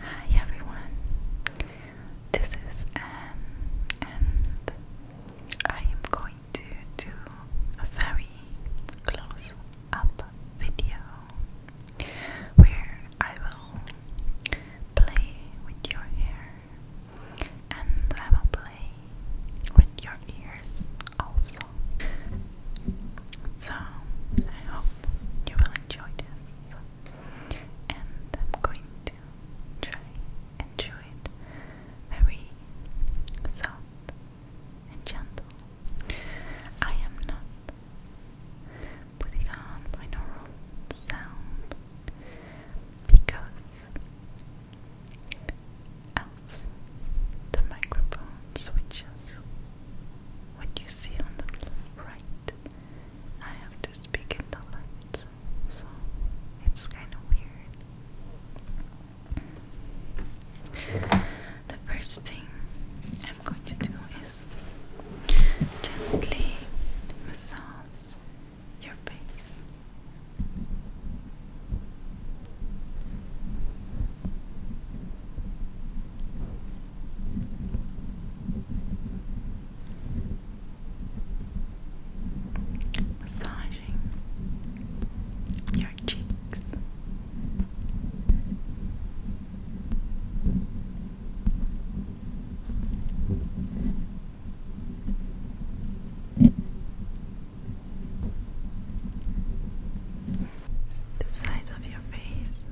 Hi everyone, this is Anne, um, and I am going to do a very close up video where I will play with your hair and I will play with your ears also. So I hope you will enjoy this. And I'm going to try and it very soft and gentle. I am not putting on binaural sound because else the microphone switches. What you see on the right, I have to speak in the left, so it's kind of weird. The first thing I'm going to do is gently massage your face. Massaging your cheeks the sides of your face.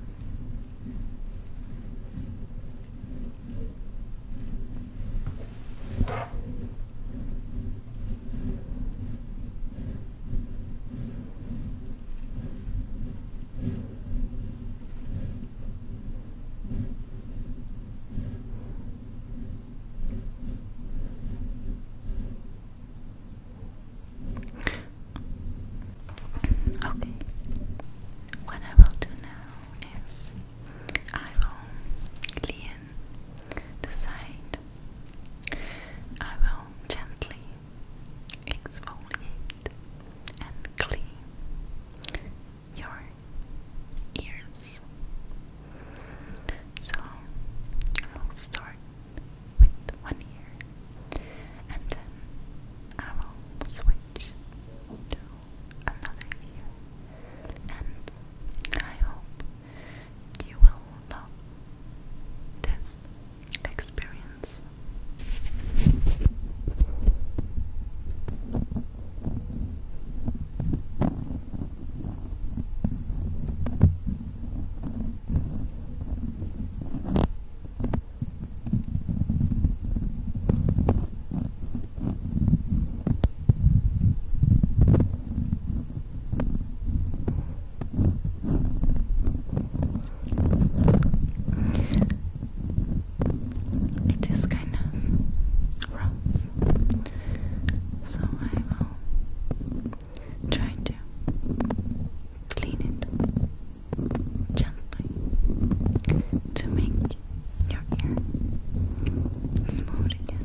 Okay, what I will do now is I will clean the side. I will gently exfoliate and clean your ears. So I'll start with one ear and then I will switch to another ear and I hope you will love this experience. It is kind of rough, so I will trying to clean it gently to make your ear smooth again.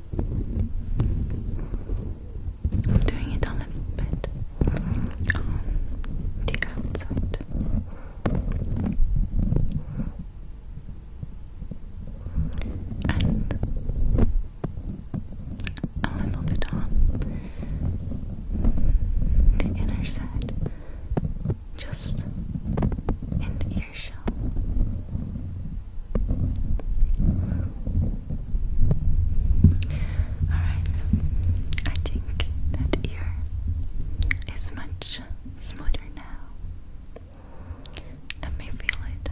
I'm doing it a little bit on the outside. And a little bit on the inner side, just in the ear. Alright, I think that ear is much smoother now. Let me feel it.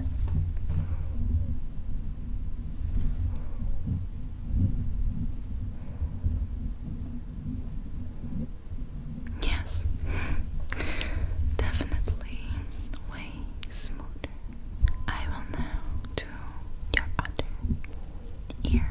Yes, definitely way way I will now do your other ear.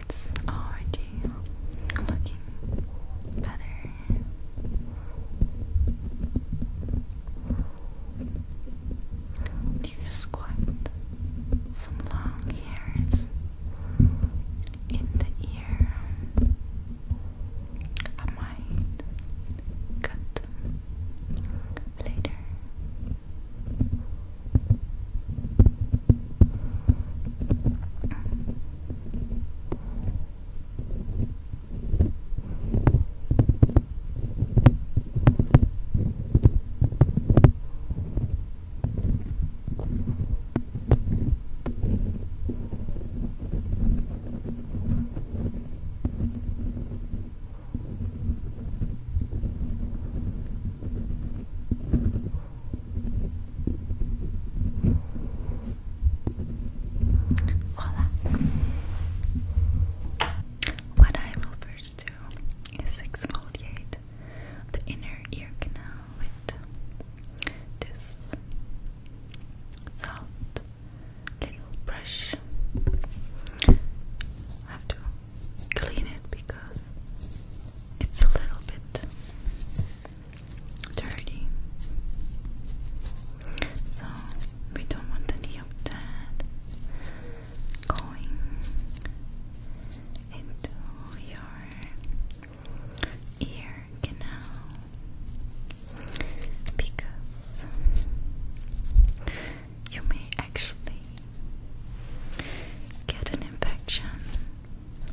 It's already looking better. You just squat some long hairs in the ear. I cut later. Voila! What I will first do is exfoliate the inner ear canal with this soft little brush. I have to clean it because it's a little bit dirty. So we don't want any of that going into your ear canal because you may actually get an infection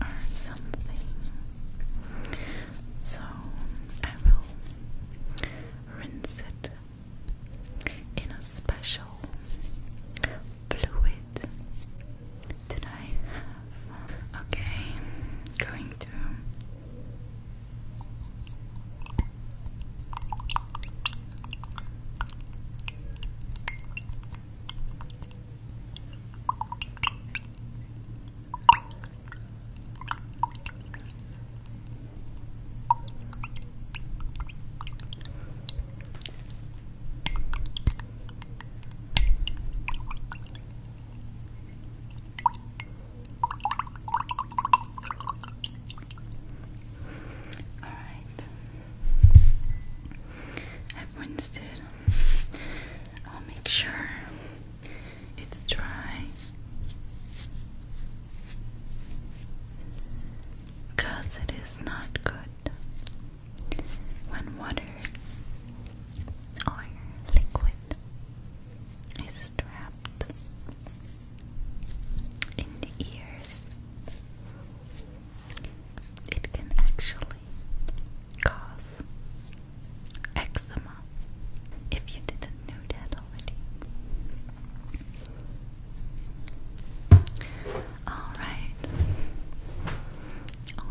or something. So I will rinse it in a special fluid did I um, Okay, going to. All right. I've I'll make sure it's dry. Cause it is not good when water or liquid is trapped in the ears, it can actually cause eczema if you didn't know that already. Alright.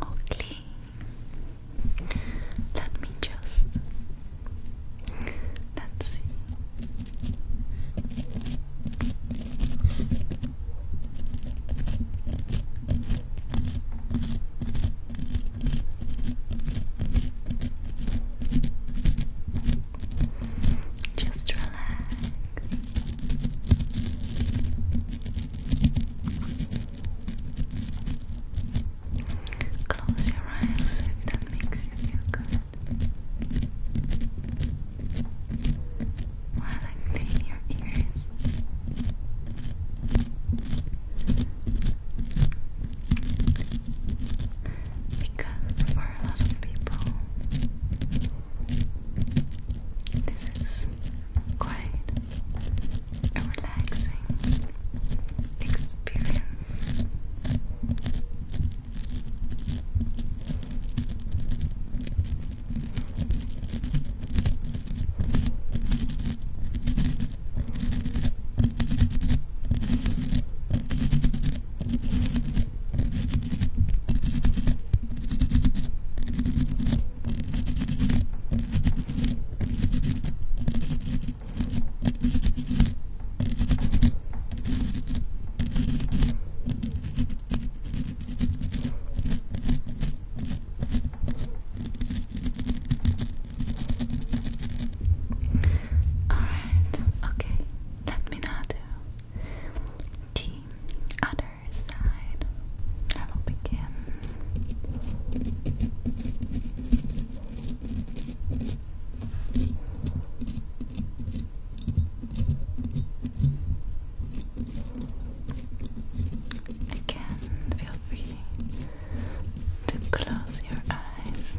All let me just. Let's see. Just relax. Close your eyes if that makes you feel good. While I clean your ears, because for a lot of people, this is quite a relaxing experience. Thank Alright, okay, let me now do other other I will begin. Again, feel free to close your eyes.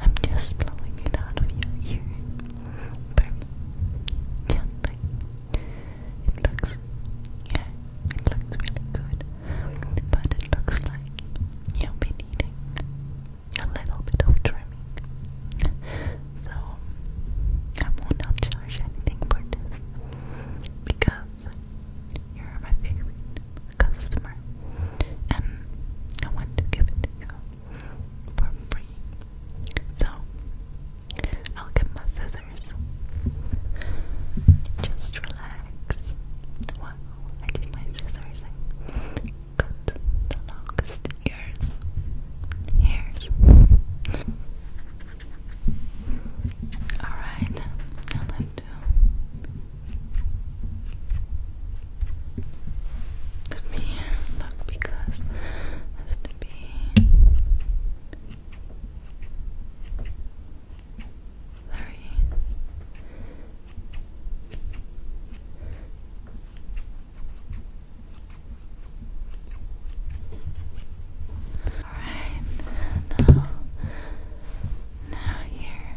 I'm just blowing it out of your ear. Very gently. It looks, yeah, it looks really good, but it looks like you've been eating a little bit of trimming. So I will not charge anything for this because you're my favorite customer, and I want to give it to you for free. So I'll get my scissors. Just relax. I did my scissors. I cut the longest ears. Hairs. Alright, I'd like to. Let me look because have to be very all right now now here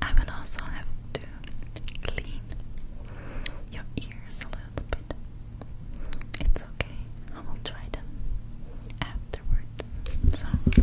I will also have to clean your ears a little bit. It's okay, I will try them afterward. So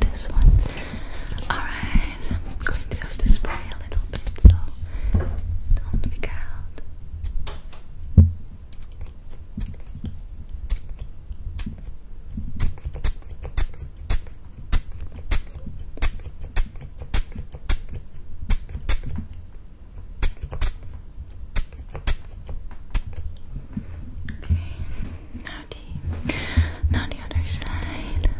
This one. Alright, I'm going to have to spray a little bit, so don't freak out. Okay, now the, now the other side.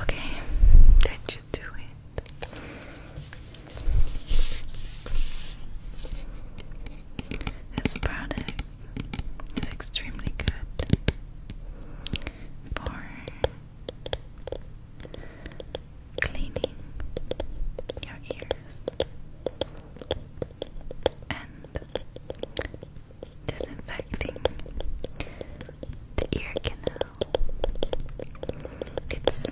Okay, that should do it. This product is extremely good for cleaning your ears and disinfecting the ear canal. It's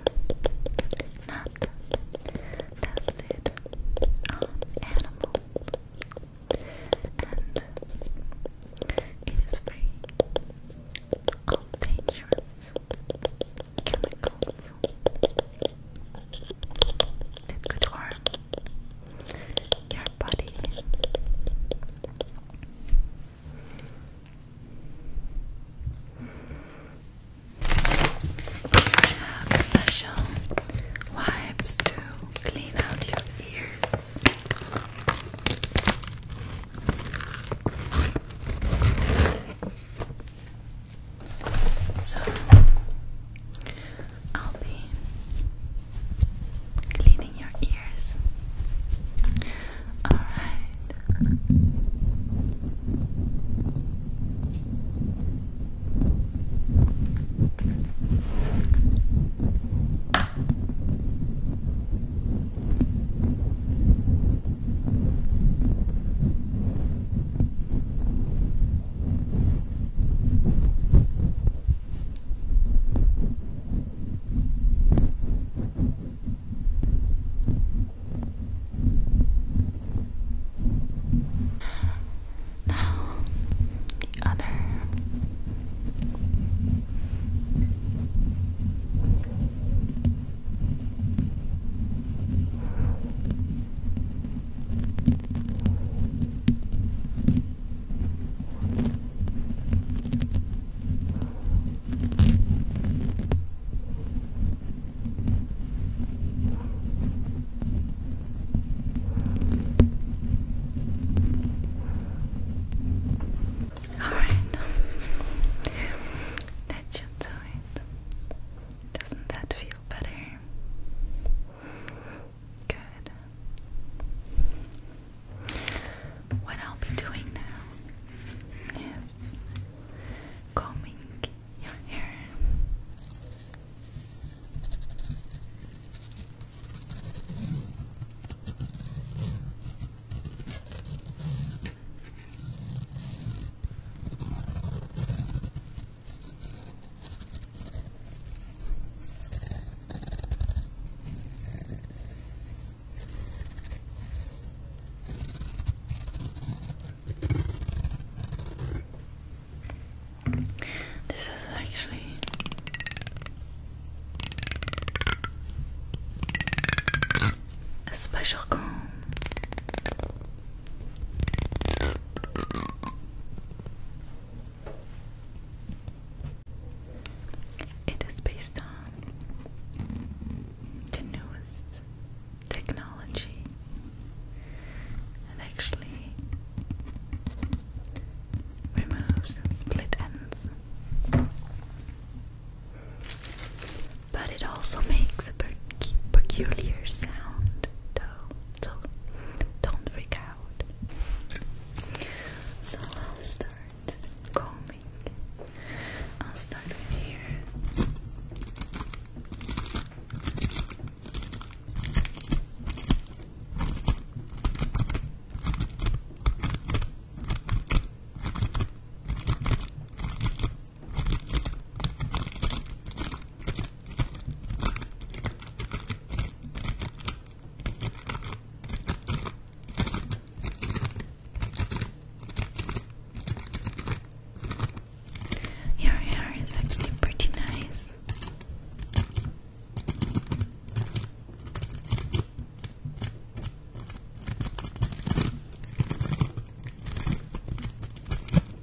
not tested on animals, and it is free of dangerous chemicals. It's good for your body. special wipes to clean out your ears. So I'll be cleaning your ears. All right. Now, the other. All right, that should do it. Doesn't that feel better? Good. What I'll be doing now is combing your hair. This is actually a special comb. It is based on the newest technology and actually removes split ends. But it also makes a peculiar sound, though so don't freak out. So I'll start combing. I'll start with here. Your hair actually pretty nice.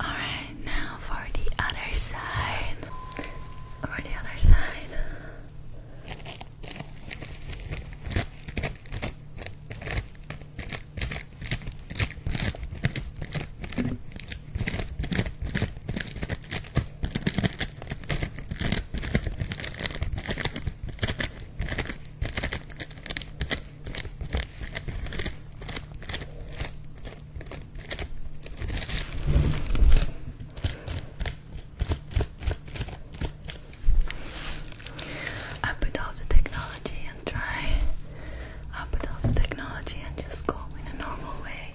Alright, now for the other side. For the other side. I put off the technology and try. I put off the technology and just go in a normal way.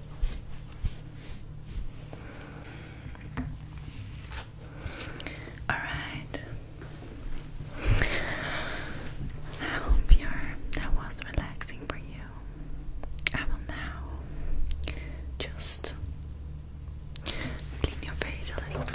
All right. I hope your that was relaxing for you. I will now just clean your face a little bit.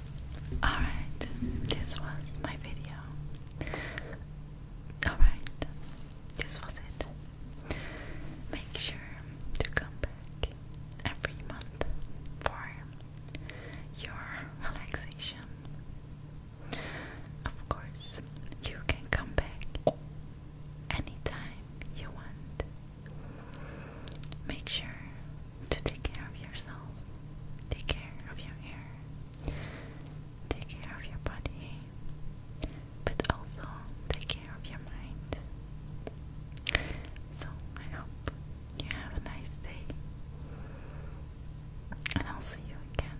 Alright, this was my video. Alright, this was it. Make sure to come back every month for your relaxation. Of course, you can come back anytime you want. Make sure to take care of yourself. Take care of your hair. Take care of your body. But also take care of your mind. So I hope you have a nice day. And I'll see you again.